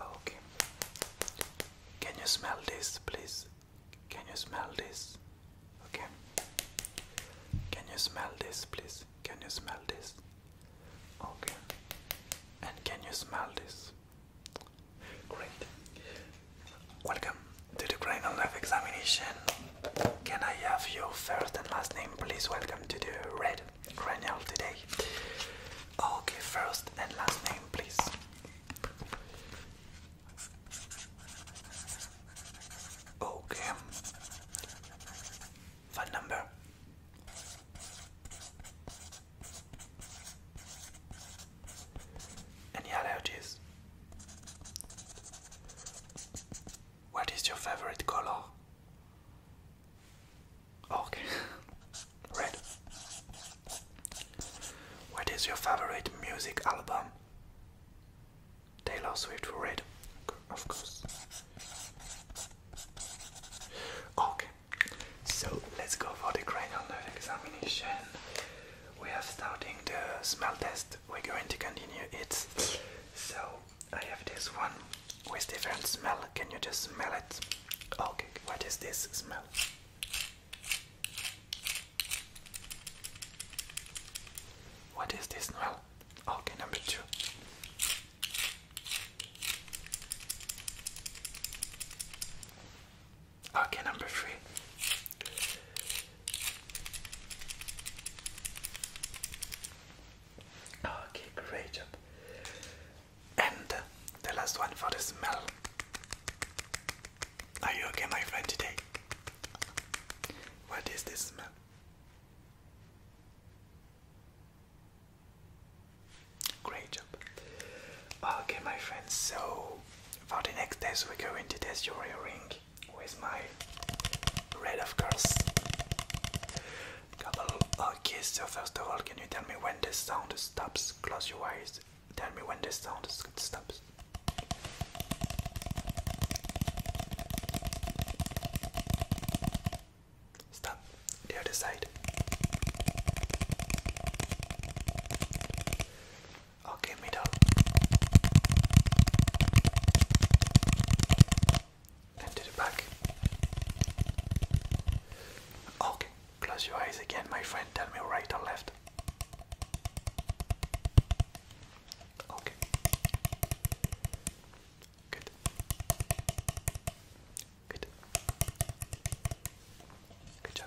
Okay. Can you smell this, please? Can you smell this? Okay. Can you smell this, please? Can you smell this? Okay. And can you smell this? Great. Welcome to the criminal life examination. Can I have your first and last name, please? Welcome to the red Renal today. Okay, first and last name, please. Okay. Phone number. Any allergies? What is your favorite color? Oh, okay. Red. What is your favorite music album? Taylor Swift Red. Of course. Okay. So let's go for the cranial nerve examination. We are starting the smell test. We're going to continue it. So I have this one with different smell. Can you just smell it? Okay, what is this smell? What is this smell? Okay, number two. Okay, number three. Okay, great job. And uh, the last one for the smell. Are you okay, my friend, today? What is this smell? Great job. Okay, my friends, so for the next test, we're going to test your earring with my red, of course. Couple. Okay, so first of all, can you tell me when the sound stops? Close your eyes. Tell me when the sound stops. Stop. The other side. Okay, middle and to the back. Okay, close your eyes again, my friend. Tell me right or left. Okay. Good. Good. Good job.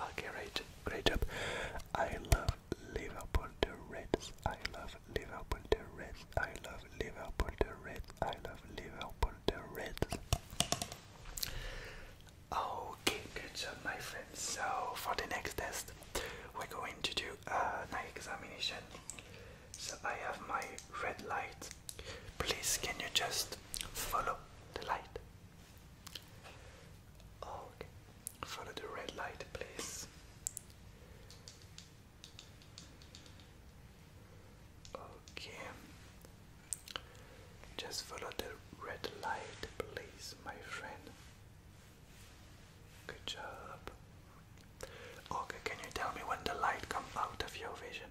Okay, right, great job. I love Liverpool the Reds. I love Liverpool the Reds. I love Liverpool the Reds. I love Liverpool the Reds. Okay, good job, my friends. So for the next test, we're going to do uh, an examination. So I have my red light. Please, can you just follow the light? Okay. Follow the red light, please. Okay. Just follow the red light, please, my friend. Good job. Okay, can you tell me when the light comes out of your vision?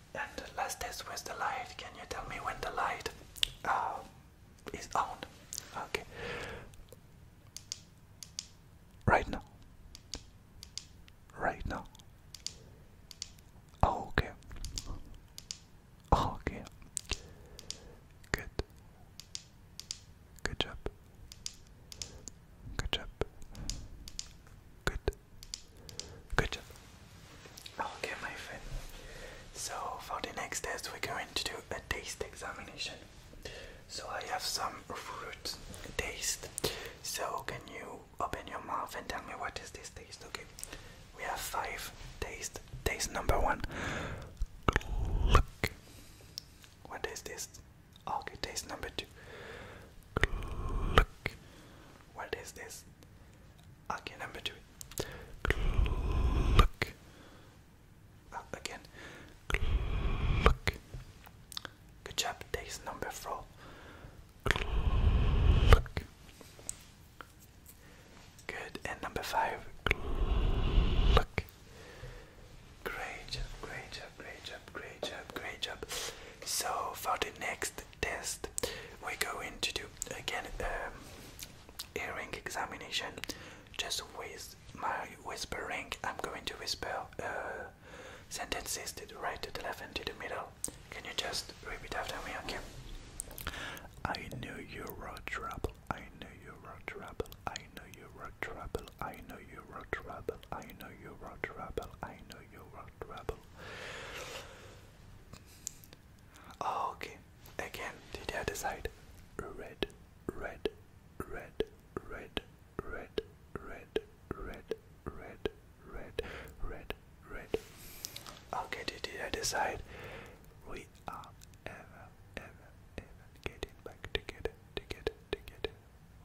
and last test was the light. Can you tell me when the light uh, is on? Okay. Right now. Right now. Okay. Okay. Good. Good job. Good job. Good. Good job. Okay, my friend. So, for the next test, we're going to do a taste examination. So, I have some fruit taste. So, can you open your mouth and tell me what is this taste? Okay, we have five taste. Taste number one. Look. What is this? Okay, taste number two. Look. What is this? Okay, number two. Look. Ah, again. Look. Good job. Days number four. Look. Good. And number five. Look. Great job, great job, great job, great job, great job. So for the next test. We're going to do again um, earring examination. Just with my whispering, I'm going to whisper uh, sentences to the right, to the left, and to the middle. Can you just repeat after me, okay? I know you were trouble. I know you were trouble. I know you were trouble. I know you were trouble. I know you were trouble. I know you were trouble okay. Again, did the decide? Red, red, red, red, red, red, red, red, red, red, red. Okay, did the other We are ever, ever, ever getting back together, together, together.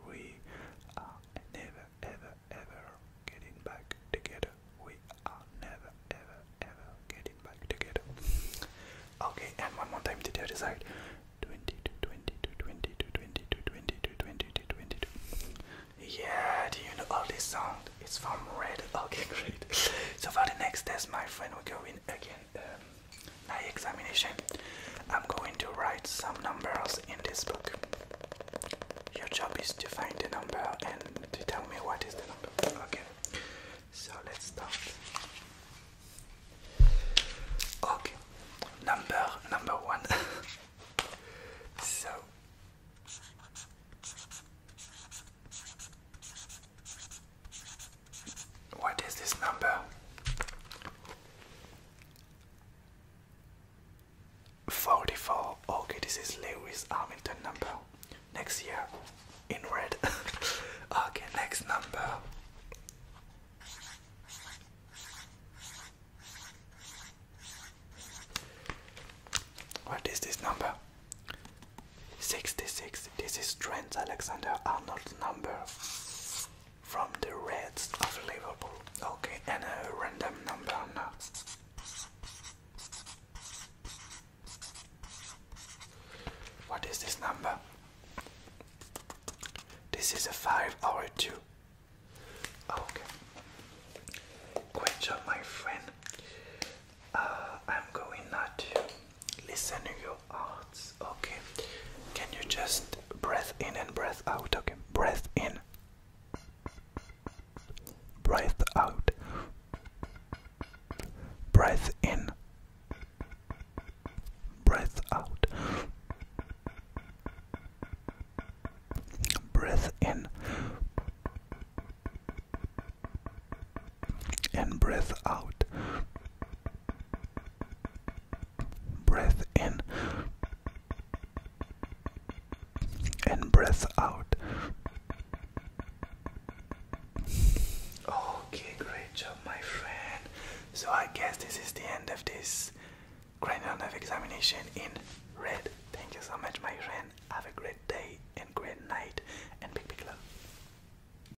We are never, ever, ever getting back together. We are never ever ever getting back together. Okay, and one more time to the other side. 20 to 20 to 20 to 20 to 20 to 20 to 20 to. Yeah, do you know all this sound? It's from Red. Okay, great. so for the next test, my friend, we're going again. Um, my examination. I'm going to write some numbers in this book. Your job is to find the number and to tell me what is the number. Okay, so let's start. Okay, number number one. so. What is this number? 44. Okay, this is Lewis Armington number. Next year in red. okay, next number. What is this number? 66. This is Trent Alexander Arnold number from the Reds of Liverpool. Okay, and a random number now. What is this number? This is a 5 or a 2. Okay. Good job, my friend. Uh, I'm going now to Listen to your heart. Okay. Can you just breathe in and breathe out? Okay. breathe in. breathe out. breathe in. breathe out. Breath in. And breath out. Breath in and breath out. Okay, great job, my friend. So, I guess this is the end of this cranial nerve examination in red. Thank you so much, my friend. Have a great day and great night, and big, big love.